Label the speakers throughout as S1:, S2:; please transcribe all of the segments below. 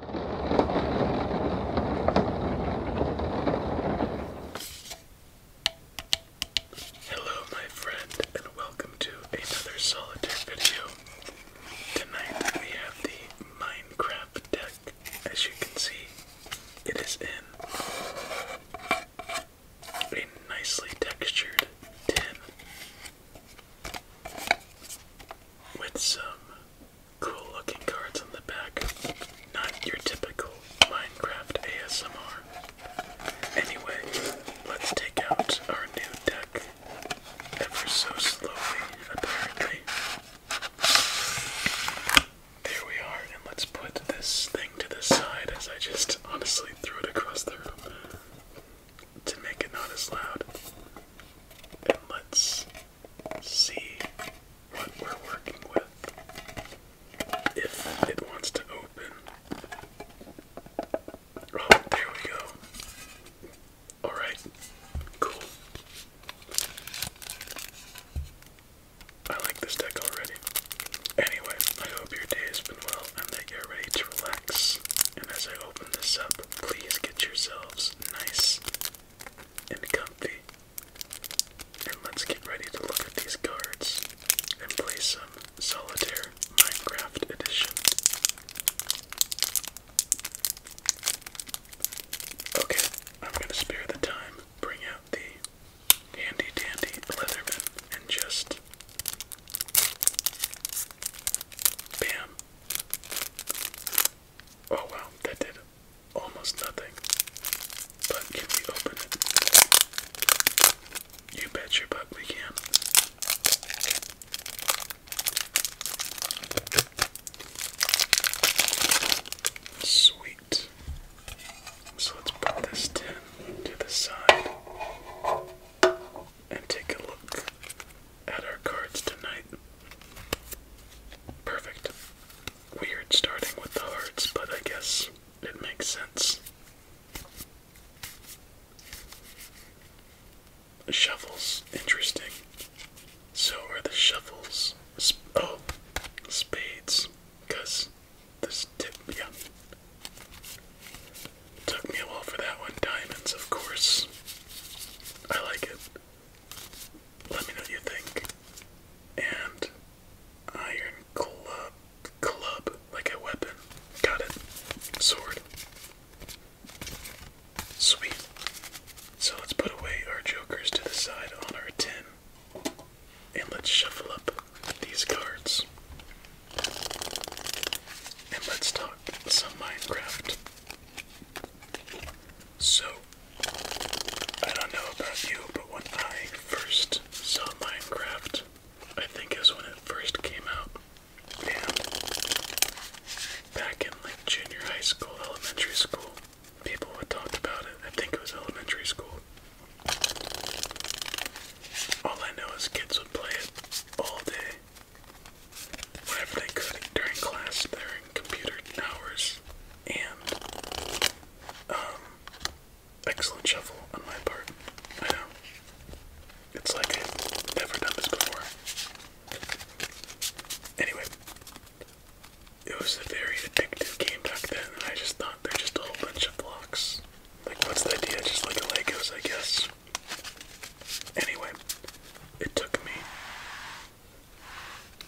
S1: Hello, my friend, and welcome to another solitaire video. Tonight we have the Minecraft deck. As you can see, it is in a nicely textured tin with some Cool looking cards on the back. Not your typical Minecraft ASMR. Anyway, let's take out our new deck ever so slowly, apparently. There we are, and let's put this thing to the side as I just honestly threw it across the room to make it not as loud. And let's see what we're working with. If it wants to open. Oh, there we go. Alright, cool. I like this deck already. Anyway, I hope your day has been well and that you're ready to relax. And as I open this up, please get yourselves nice and comfy. And let's get ready to look at these cards and play some Solitaire Minecraft Edition. Okay, I'm gonna spare the time, bring out the handy dandy Leatherman, and just. Bam! Oh wow, that did almost nothing. But can we open it? You bet your butt we can. Sweet. So let's put this tin to the side and take a look at our cards tonight. Perfect. Weird starting with the hearts, but I guess it makes sense. Shovels, interesting. So are the shovels. oh, spades, because this tip, yeah. Took me a while for that one. Diamonds, of course. I like it. Let me know what you think. And iron club, club like a weapon. Got it. Sword. Sweet. So let's put away our jokers to the side on our tin. And let's shuffle up these cards. And let's talk some Minecraft. So, I don't know about you, but when I first saw Minecraft, I think it was when it first came out. And back in like junior high school, elementary school, people had talked about it. I think it was elementary school. All I know is kids would play it all day, whenever they could during class, during computer hours, and um, excellent shuffle on my part. I know it's like never done this before. Anyway, it was a very addictive game back then, and I just thought they're just a whole bunch of blocks. Like, what's the idea? Just like a Legos, I guess. Anyway, it took me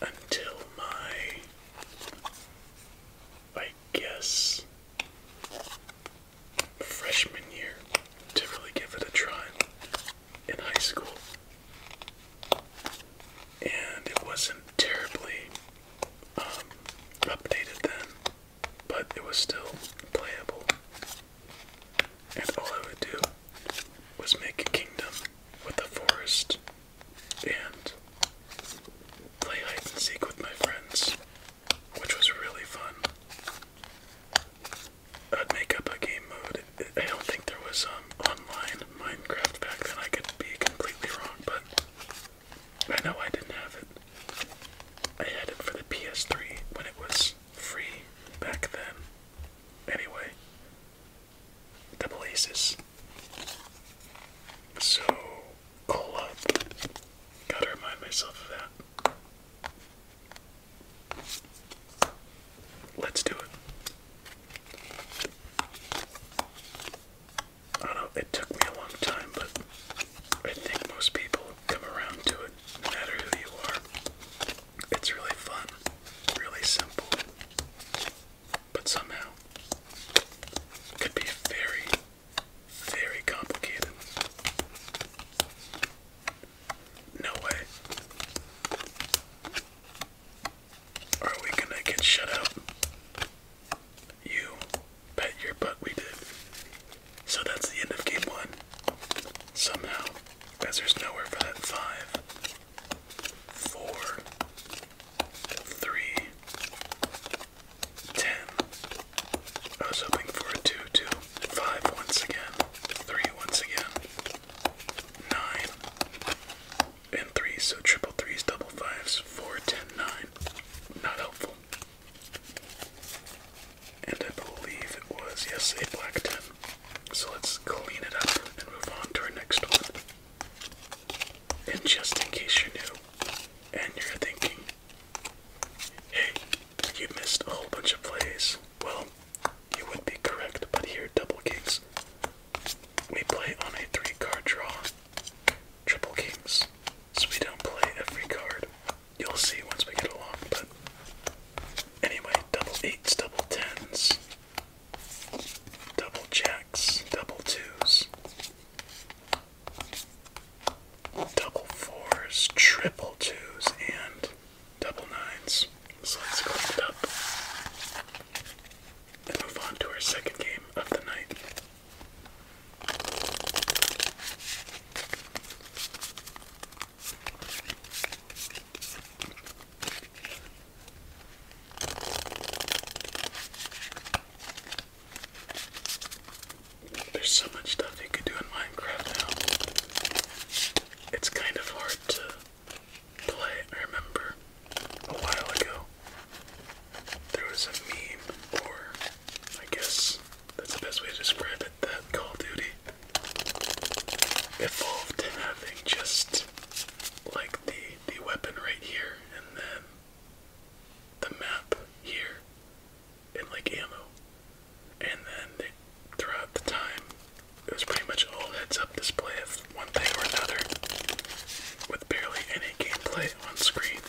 S1: until my, I guess, freshman year to really give it a try in high school. And it wasn't terribly um, updated then, but it was still playable and all I would do was make a kingdom with the forest and play hide and seek with my friends, which was really fun. I'd make up a game mode. I don't think there was um, online Minecraft back then. I could be completely wrong, but I know I didn't have it. I had it for the PS3 when it was free back then. Anyway, double aces. So, Gotta remind myself of that. Let's do it. I know, it took me a long time, but I think most people come around to it, no matter who you are. It's really fun, really simple, but somehow could be very, very complicated. No way. Are we gonna get shut out? You bet your butt we did. So that's the end of game one. Somehow. Because there's nowhere for that five, four, three, ten. I was hoping for a two, two, five once again, three once again, nine, and three. So triple threes, double fives, four, ten, nine. Not helpful. And I believe it was, yes, a black 10. So let's clean it up and move on to our next one. And just in case you're new and you're thinking, hey, you missed a whole bunch of plays. Well, you would be correct, but here, double kings. We play on a three card draw. Triple kings. So we don't play every card. You'll see once we get along, but anyway, double eights, double tens, double jacks, double twos, double fours, triple twos, and double nines. So let's clean it up and move on to our second game of the night. There's so much stuff you can do in Minecraft now. It's kind of hard to play. I remember a while ago there was a meme, or I guess that's the best way to describe it, that Call Duty evolved to having just like the the weapon right here and then the map here and like ammo. And then they, throughout the time it was pretty much all heads up display of one thing or another with barely any gameplay on screen.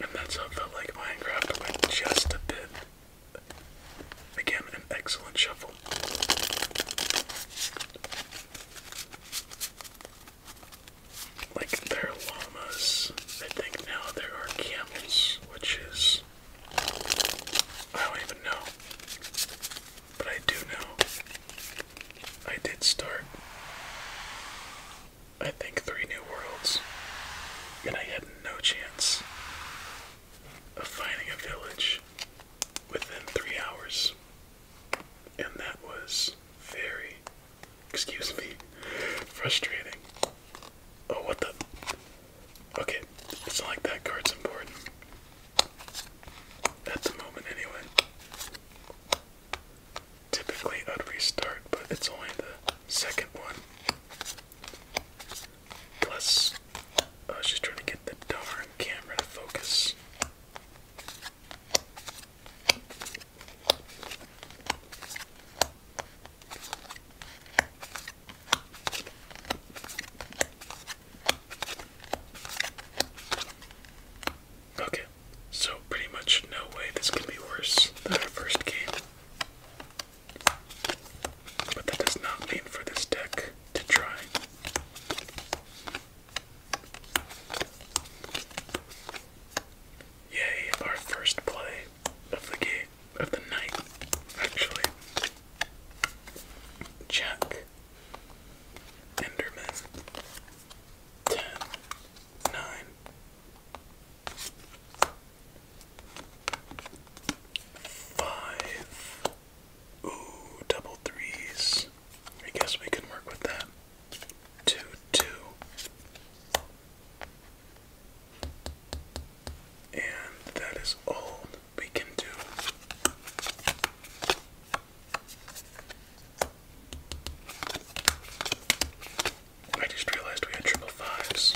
S1: And that's how it felt like Minecraft went just a bit Again, an excellent shuffle. Like, there are llamas. I think now there are camels, which is. I don't even know. But I do know. I did start, I think, three new worlds, and I had no chance of finding a village within three hours. And that was very, excuse me, frustrating. Oh, what the? Okay, it's not like that card's important. That's a moment, anyway. Typically, I'd restart, but it's only the second one. Plus, I was just trying to get the darn camera to focus. Okay, so pretty much no way this can be worse than our first game. But that does not mean for this deck to try. Yay, our first play of the game, of the night, actually. Jack, Enderman, 10, Five. Ooh, double threes. I guess we can work with that. Two, two. And that is all we can do. I just realized we had triple fives,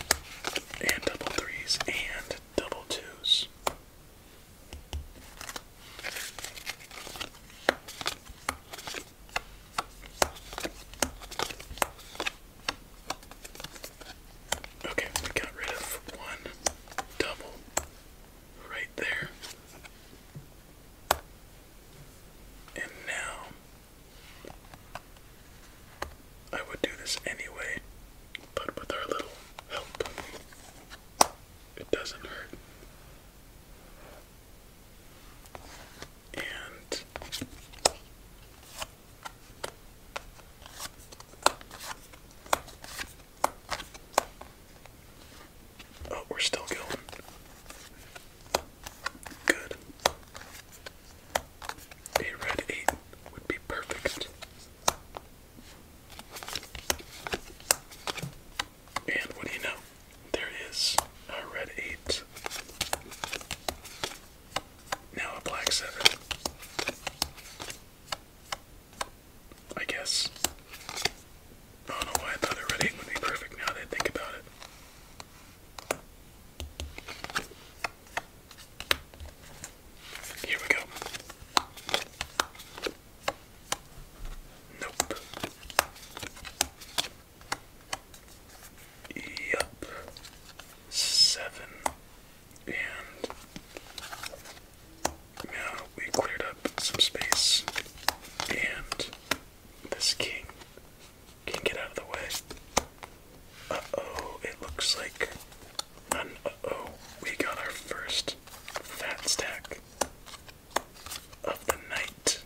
S1: and double threes, and double twos. Okay, we got rid of one double right there. And now I would do this anyway, but with our little help, it doesn't hurt. And Oh, we're still going. Good. A red 8 would be perfect. And what do you know? There is a red 8. Now a black 7. I guess. I don't know why I thought a red 8 would be perfect now that I think about it. Here we go. Nope. Yup. Seven. And now we cleared up some space. And this king can get out of the way. Uh-oh, it looks like uh-oh. We got our first fat stack of the night.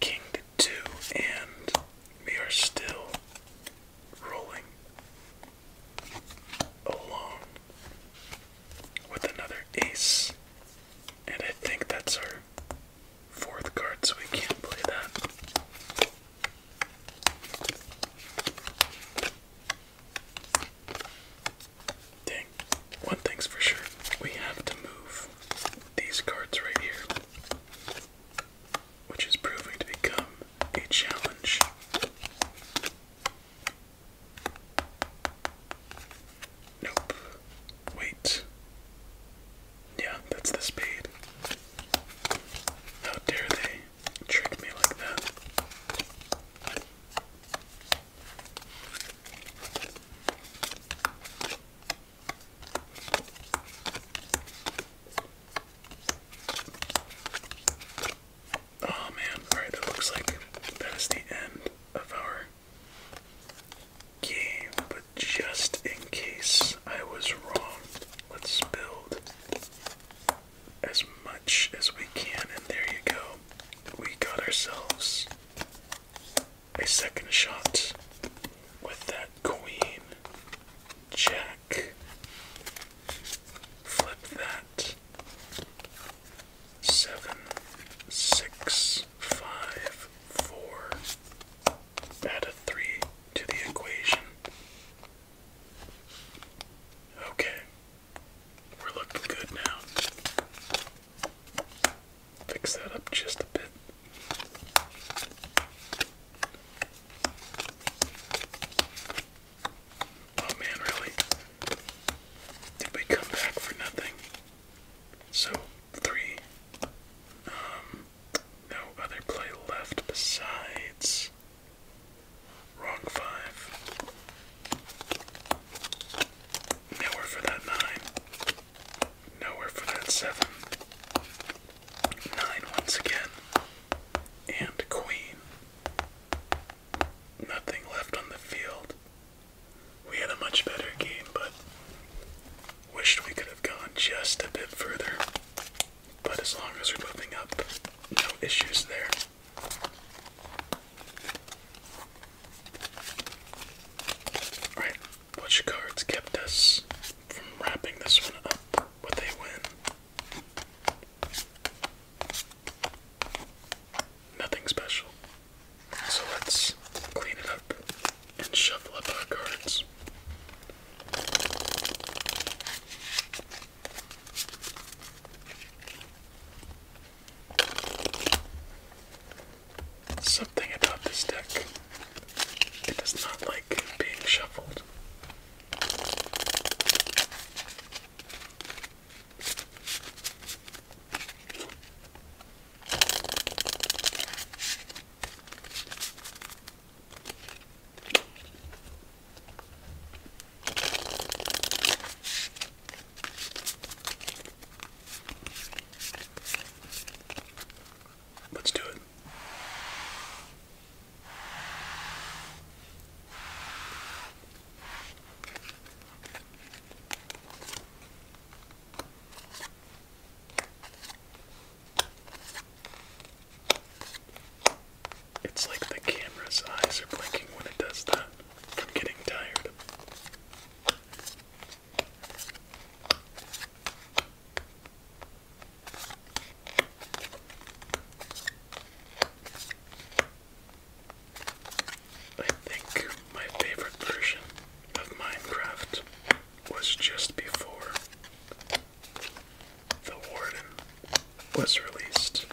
S1: King to two, and we are still rolling along with another ace. And I think that's our fourth card, so we can't play that. Dang. One thing's for sure, we have to move these cards right here, which is proving to become a challenge. Nope. Wait. Yeah, that's the speed. How dare they trick me like that? Oh man, alright, it looks like that is the end of our game, just in case I was wrong, let's build as much as we can. And there you go. We got ourselves a second shot with that queen, jack. Flip that. Seven, six, five, four. Add a three to the equation. Okay, we're looking good now. Fix that up just a bit. Oh man, really? Did we come back for nothing? So, three. Um, no other play left besides wrong five. Nowhere for that nine. Nowhere for that seven. Nine once again. And queen. Nothing left on the field. We had a much better game, but Wished we could have gone just a bit further, but as long as we're moving up, no issues there. Alright, which cards kept us from wrapping this one up with a win? Nothing special. So let's clean it up and shuffle up our cards. Something about this deck, it does not like being shuffled. Let's do it. It's like the camera's eyes are blinking when it does that I'm getting tired. I think my favorite version of Minecraft was just before the warden was released.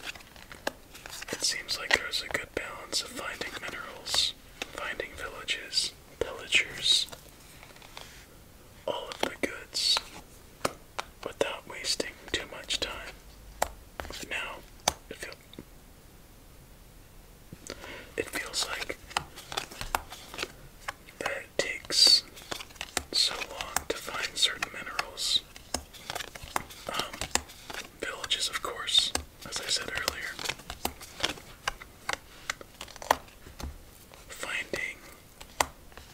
S1: It seems like there's a good balance of finding minerals, finding villages, pillagers, all of the goods, without wasting too much time. Now, it feels. It feels like that takes so long to find certain minerals. Um, villages, of course, as I said earlier. Finding,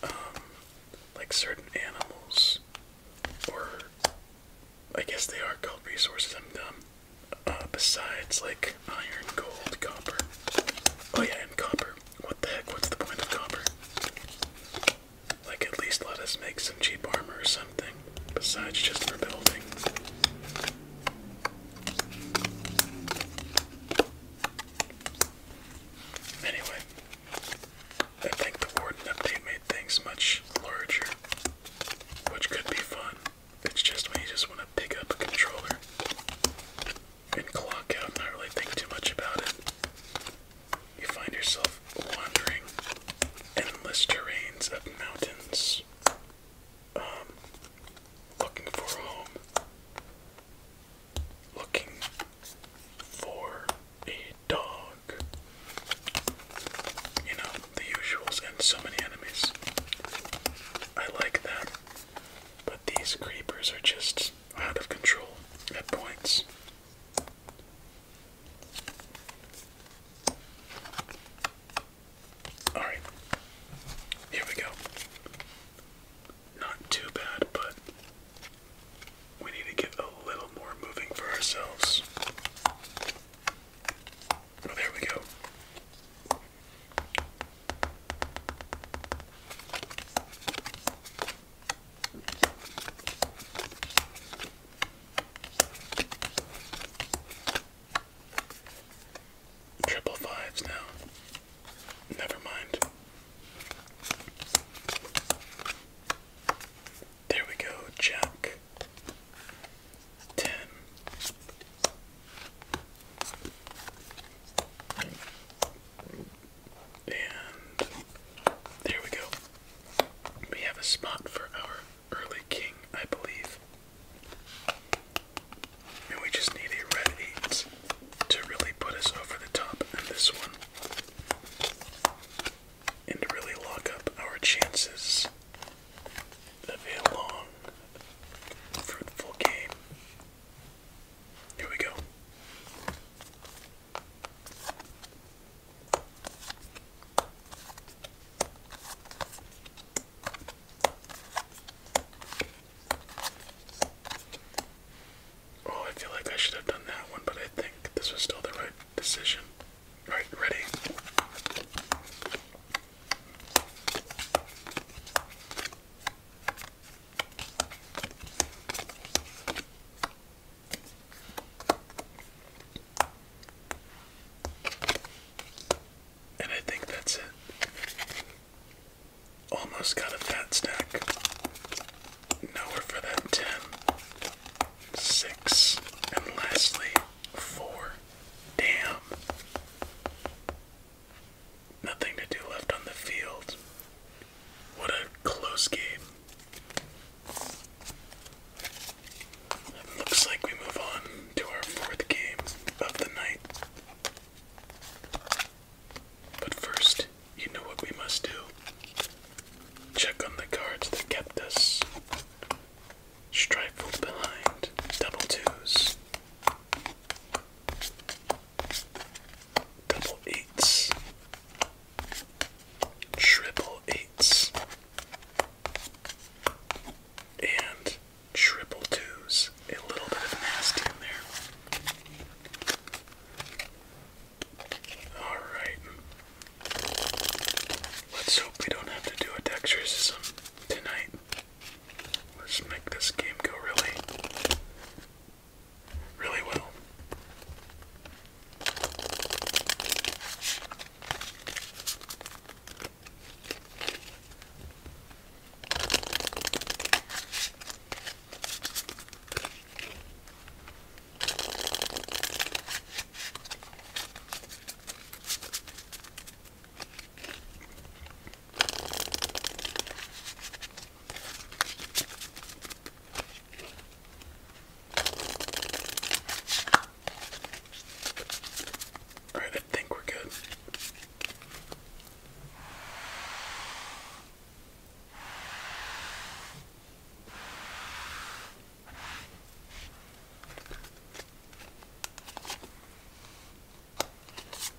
S1: um, like certain animals, or I guess they are called resources, I'm dumb. Uh, besides, like, iron, gold, copper. Oh yeah, and copper. What the heck? What's the point of copper? Like, at least let us make some cheap armor or something, besides just for building. Anyway, I think the Warden update made things much larger, which could be fun. It's just when you just want to pick up a controller and clock out, not really think too much about it. You find yourself wandering endless terrains of mountains, um, looking for a home, looking for a dog. You know, the usuals and so many enemies. I like that. But these creepers are just out of control at points. Alright, here we go. Not too bad, but we need to get a little more moving for ourselves. Well, oh, there we go. Triple fives now. Never mind. There we go, Jack. Ten. And there we go. We have a spot for our early king, I believe. And we just need a red 8 to really put us over the top in this one. And really lock up our chances of a long, fruitful game here we go. Oh, I feel like I should have done that one, but I think this was still the right decision. All right, ready? And I think that's it. Almost got a fat stack. Nowhere for that 10, 6, and lastly, 4. Damn. Nothing to do left on the field. What a close game. looks like we move on to our fourth game of the night. But first, you know what we must do. Check on the cards that kept us. Strifled behind, double twos, Double eights. Triple eights. And triple twos. A little bit of nasty in there. Alright. Let's hope we don't have to do a dexterism tonight. Let's make this game go really, really well. All right, I think we're good.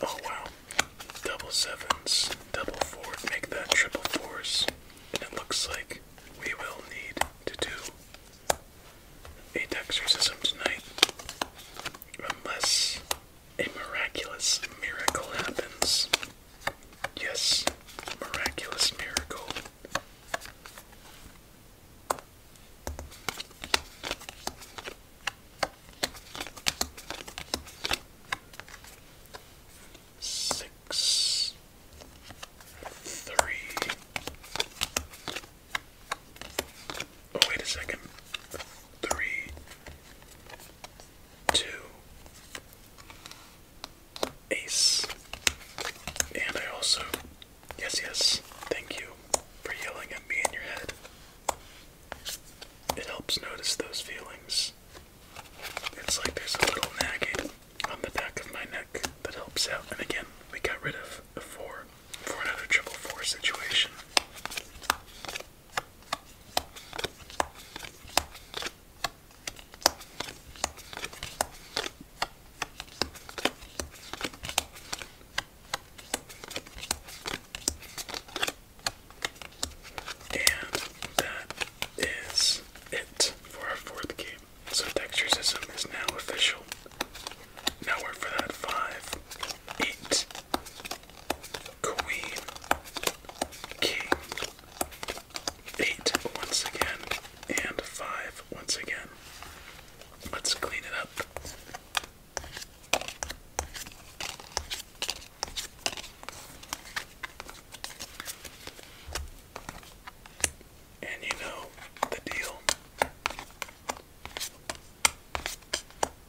S1: Oh wow. Double sevens, double four, make that triple fours. And it looks like we will need to do a dextercism tonight. Unless a miraculous miracle happens. Yes, miraculous miracle. Six, three. Oh, wait a second. Three, two, ace. And I also Yes, yes. Thank you for yelling at me in your head. It helps notice those feelings. It's like there's a little nagging on the back of my neck that helps out. And again, we got rid of a four for another triple four situation. And that is it for our fourth game. So texture system is now official. Now we're for five, eight, queen, king, eight once again, and five once again. Let's clean it up. And you know the deal.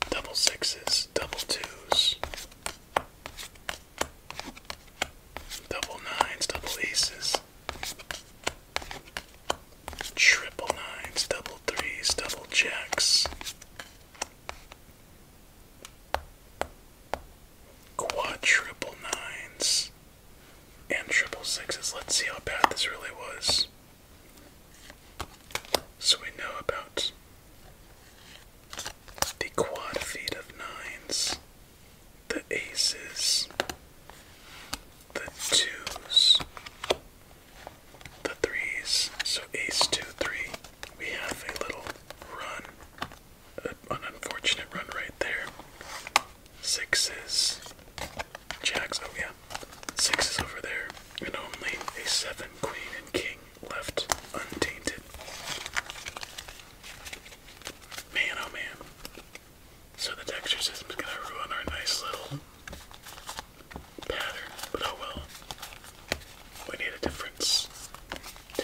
S1: Double sixes, double twos, double nines, double aces. Triple nines, double threes, double jacks. Quadruple nines and triple sixes. Let's see how bad this really was. So we know about the quad feet of nines, the aces, the twos, the threes. So ace two three. We have a little run, an unfortunate run right there. Sixes, jacks. Oh yeah, sixes over there, and only a seven, queen and king left untainted. Man, oh man. So the texture system's gonna ruin our nice little pattern, but oh well. We need a difference to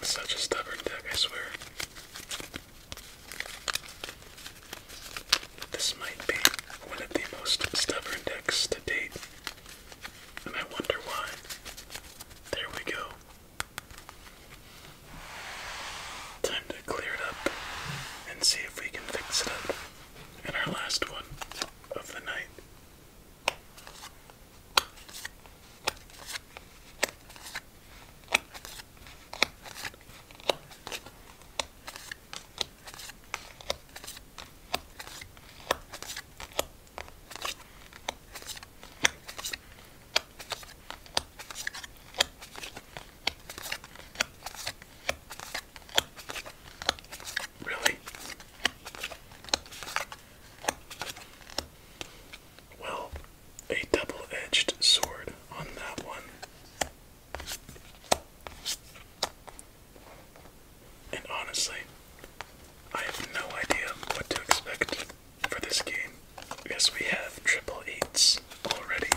S1: such a stubborn deck, I swear. This might be one of the most stubborn decks to date, and I wonder why. There we go. Time to clear it up and see if we can fix it up in our last one of the night. Really? Well, a double edged sword on that one. And honestly, I have no idea what to expect for this game because we have triple eights already.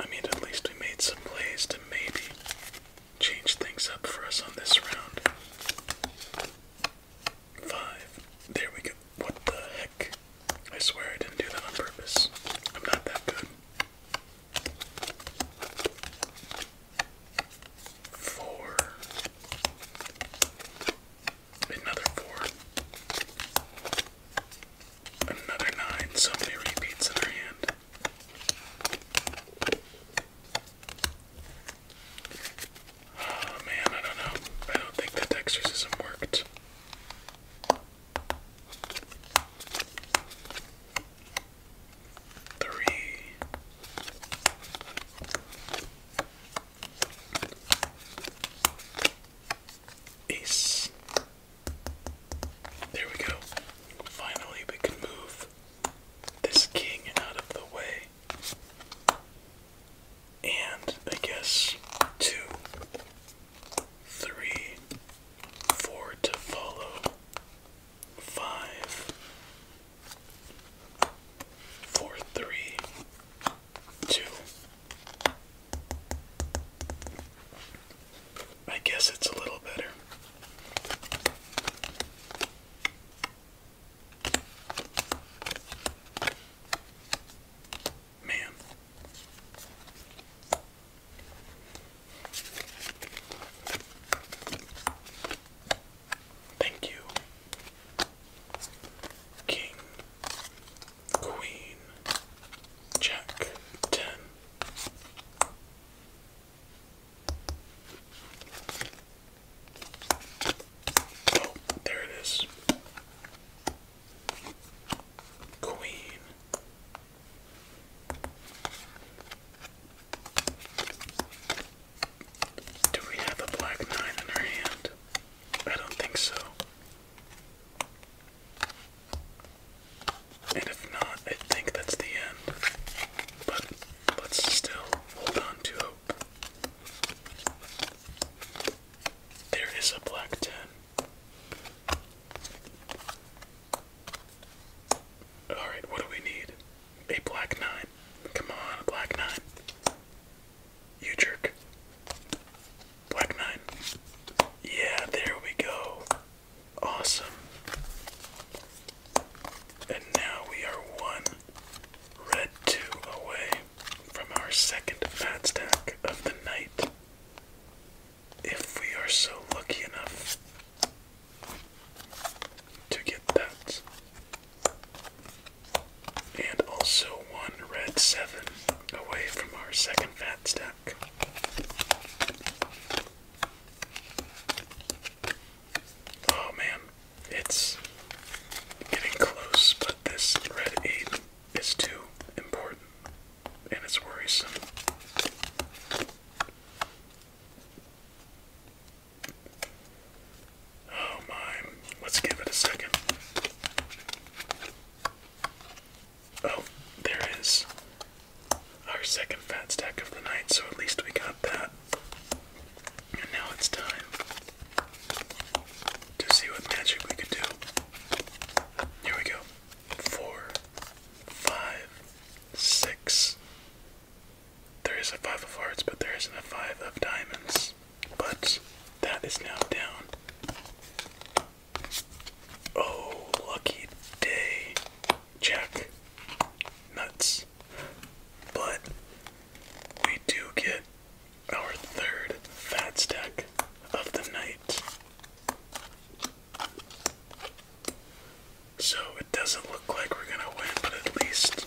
S1: I mean, at least we made some plays to maybe change things up for us on this round. Five. There we go. What the heck? I swear I didn't do that on purpose. I'm not that good. Four. Another four. Another nine. So many repeats in our hand. Oh man, I don't know. I don't think that exorcism worked. Three. Ace. There we go. Finally, we can move this king out of the way. And I guess two, three, four to follow, five, four, three, two. I guess it's a little better. Man. Thank you. King, Queen, Jack, Ten. Oh, there it is. Queen. Do we have a black nine in our hand? I don't think so. And if not, I think that's the end. But let still hold on to hope. There is a black 10. Alright, what do we need? A black nine. Come on, black nine. You jerk. Black nine. Yeah, there we go. Awesome. And now we are one red two away from our second fat stack of the night if we are so lucky enough to get that. And also one red seven away from our second fat stack. Oh man, it's getting close, but this red eight is too important and it's worrisome. Oh my, let's give it a second. Oh, there is our second fat stack of the night, so at least we got that. And now it's time to see what magic we can do. Here we go four, five, six. There is a five of hearts, but there isn't a five of diamonds. But that is now down. Oh, lucky day. Jack. Nuts. But we do get our third fat stack of the night. So it doesn't look like we're gonna win, but at least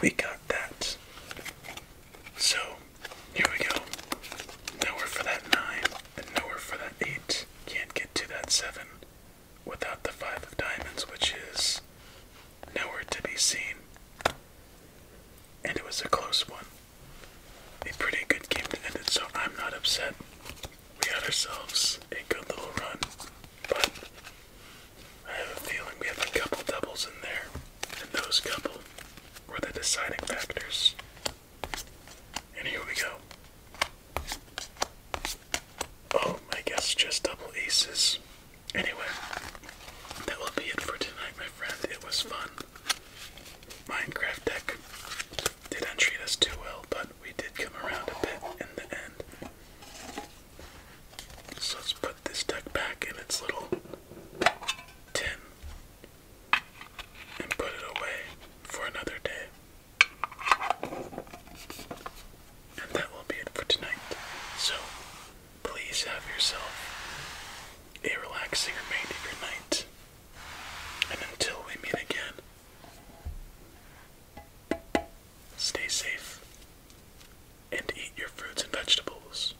S1: we got that. So here we go. Nowhere for that 9, and nowhere for that 8. Can't get to that 7 without the 5 of diamonds, which is nowhere to be seen. And it was a close one a pretty good game to end it, so I'm not upset. We had ourselves a good little run, but I have a feeling we have a couple doubles in there, and those couple were the deciding factors. And here we go. Oh, I guess just double aces. Anyway, that will be it for tonight, my friend. It was fun. Minecraft deck didn't treat us too well, but we did come around a bit in the end. So let's put this deck back in its little tin and put it away for another day. And that will be it for tonight. So please have yourself a relaxing remainder night. And until we meet again, stay safe and eat your fruits and vegetables.